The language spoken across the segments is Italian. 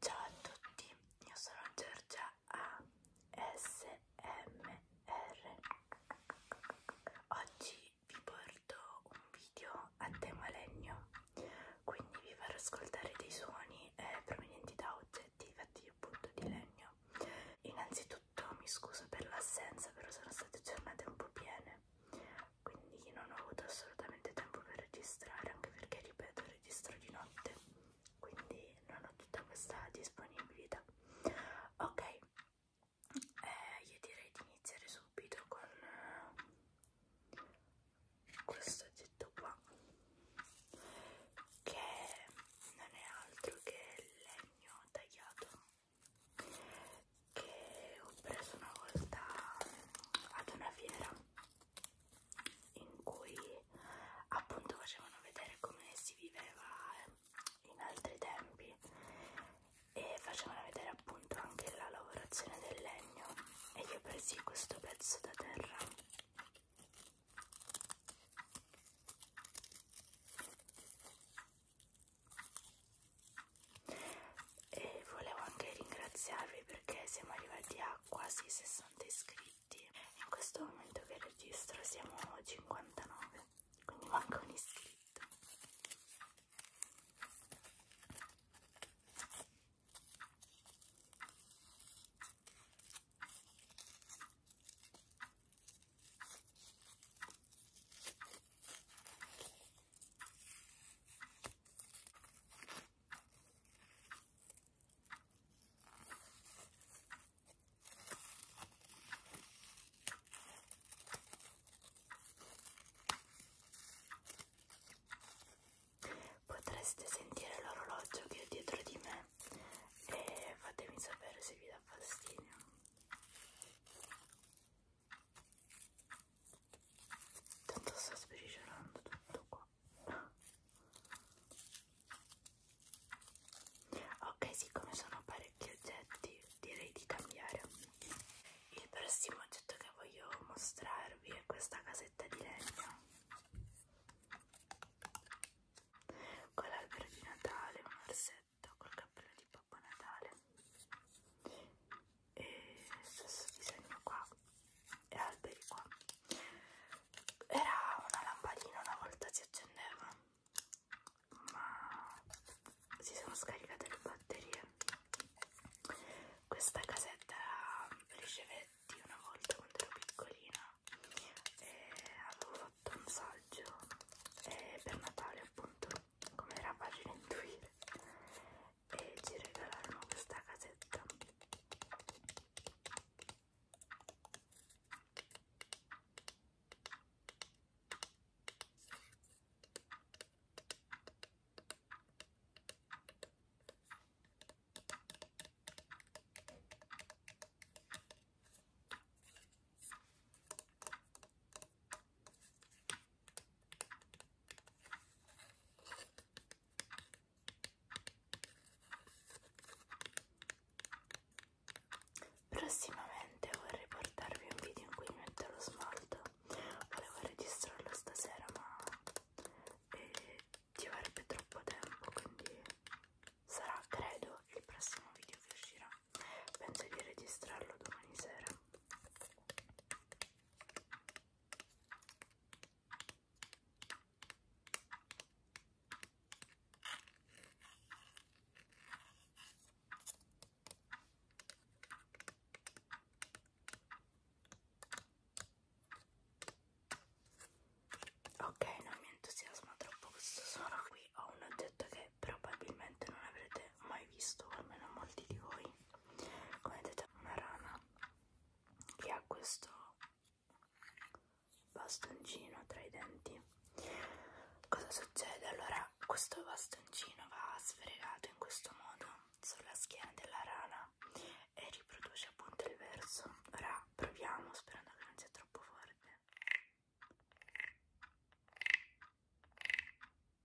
Ciao a tutti, io sono Giorgia ASMR. Oggi vi porto un video a tema legno, quindi vi farò ascoltare dei suoni eh, provenienti da oggetti fatti appunto di legno. Innanzitutto mi scuso per l'assenza, però sono state giornate un po' piene quindi non ho avuto assolutamente tempo per registrare anche perché ripeto registro di notte quindi non ho tutta questa disponibilità ok eh, io direi di iniziare subito con eh, questo oggetto qua che non è altro che legno tagliato che ho preso una volta ad una fiera in cui appunto facevano vedere come si viveva eh, in altri tempi e facevano vedere appunto anche la lavorazione del legno e io presi questo pezzo da terra e volevo anche ringraziarvi perché siamo arrivati a quasi 60 iscritti in questo momento che registro siamo a 59 quindi manca un iscritto Potreste sentire l'orologio che è dietro di me e fatemi sapere se vi dà fastidio. Tanto sta spericerando tutto qua. Ok, siccome sono parecchi oggetti, direi di cambiare. Il prossimo oggetto che voglio mostrarvi è questa casetta di legno con l'albero di Natale, un orsetto col cappello di Babbo Natale e stesso disegno qua e alberi qua era una lampadina una volta si accendeva ma si sono scaricate le batterie questa casetta ricevetti una volta quando ero piccolina e avevo fatto un saggio e per Natale appunto come era facile intuire e ci regalarono questa casetta Prossimamente vorrei portarvi un video in cui metto lo smalto. Volevo registrarlo stasera, ma eh, ci vorrebbe troppo tempo, quindi sarà, credo, il prossimo video che uscirà. Penso di registrarlo domani sera. Ok, non mi entusiasma troppo questo suono qui, ho un oggetto che probabilmente non avrete mai visto, almeno molti di voi come vedete una rana che ha questo bastoncino tra i denti cosa succede? allora questo bastoncino va sfregato in questo modo sulla schiena della rana e riproduce appunto il verso ora proviamo sperando che non sia troppo forte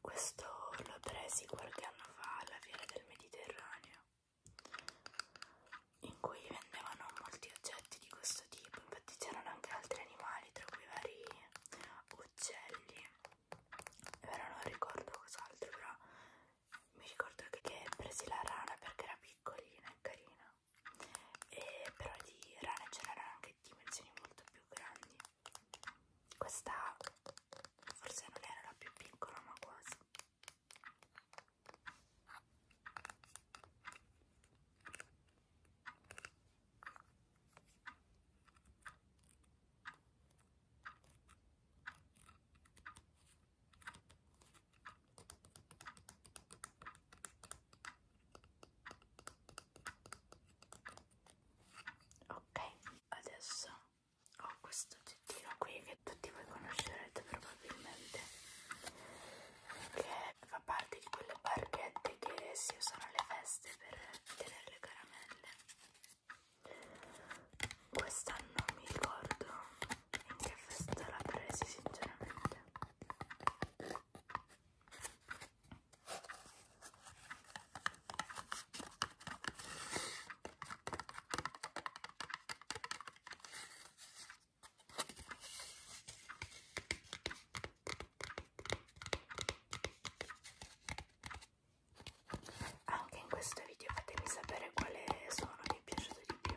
Questo l'ho presi qualche anno fa alla Fiera del Mediterraneo, in cui vendevano molti oggetti di questo tipo, infatti c'erano anche altri animali, tra cui vari uccelli. Ora non ricordo cos'altro, però mi ricordo che presi la rana perché era piccolina e carina, e però di rane c'erano anche dimensioni molto più grandi. Questa forse non era la più piccola ma quasi ok adesso ho oh, questo oggettino qui che tutti voi conoscerete probabilmente che fa parte di quelle barchette che si usano alle feste per tenere le caramelle questa non mi ricordo in che festa l'ha presa sinceramente anche in questo video fatemi sapere quale suono vi è piaciuto di più.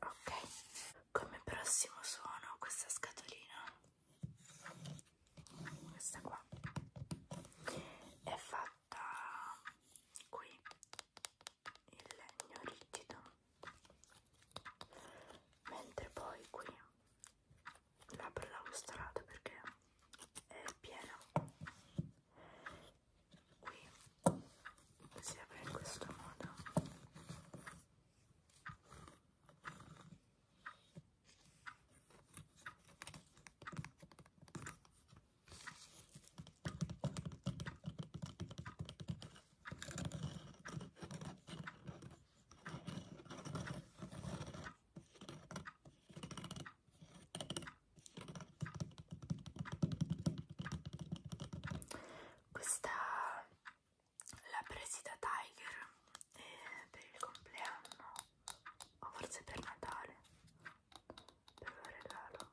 Ok, come prossimo suono questa scatolina, questa qua, è fatta qui, in legno rigido, mentre poi qui labbra da lustrata perché è piena qui si apre in questo modo questa l'ha presi da Tiger eh, per il compleanno o forse per Natale per un regalo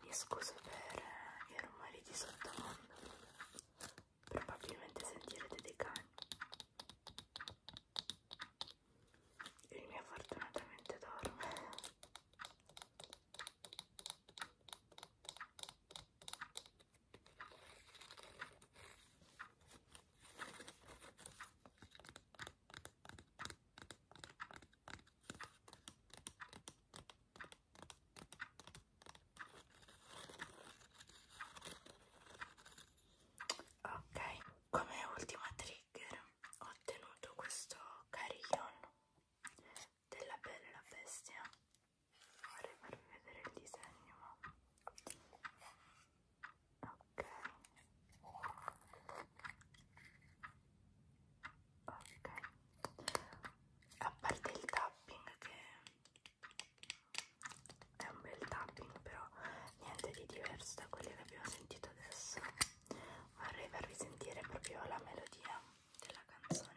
Mi scuso per i rumori di sottofondo, probabilmente sentirete dei cani il mio fortunatamente dorme ok come ultima trigger ho ottenuto questo carillon della bella e la bestia vorrei farvi vedere il disegno ma... ok ok a parte il tapping che è un bel tapping però niente di diverso da quelli che abbiamo sentito adesso vorrei farvi sentire proprio la melodia della canzone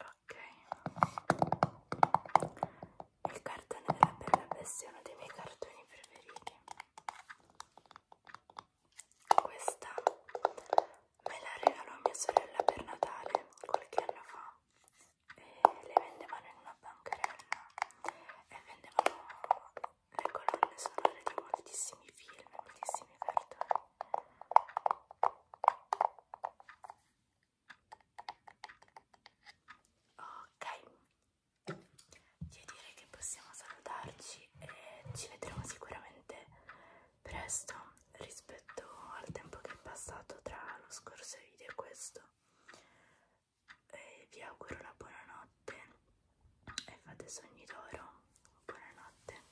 ok il cartone della bella bestia è uno dei miei cartoni preferiti questa me la regalò mia sorella per Natale qualche anno fa e le vendevano in una bancarella e vendevano le colonne sonore di moltissimi film moltissimi cartoni Ok, io direi che possiamo salutarci e ci vedremo sicuramente presto rispetto al tempo che è passato tra lo scorso video e questo. E vi auguro la buonanotte e fate sogni d'oro. Buonanotte.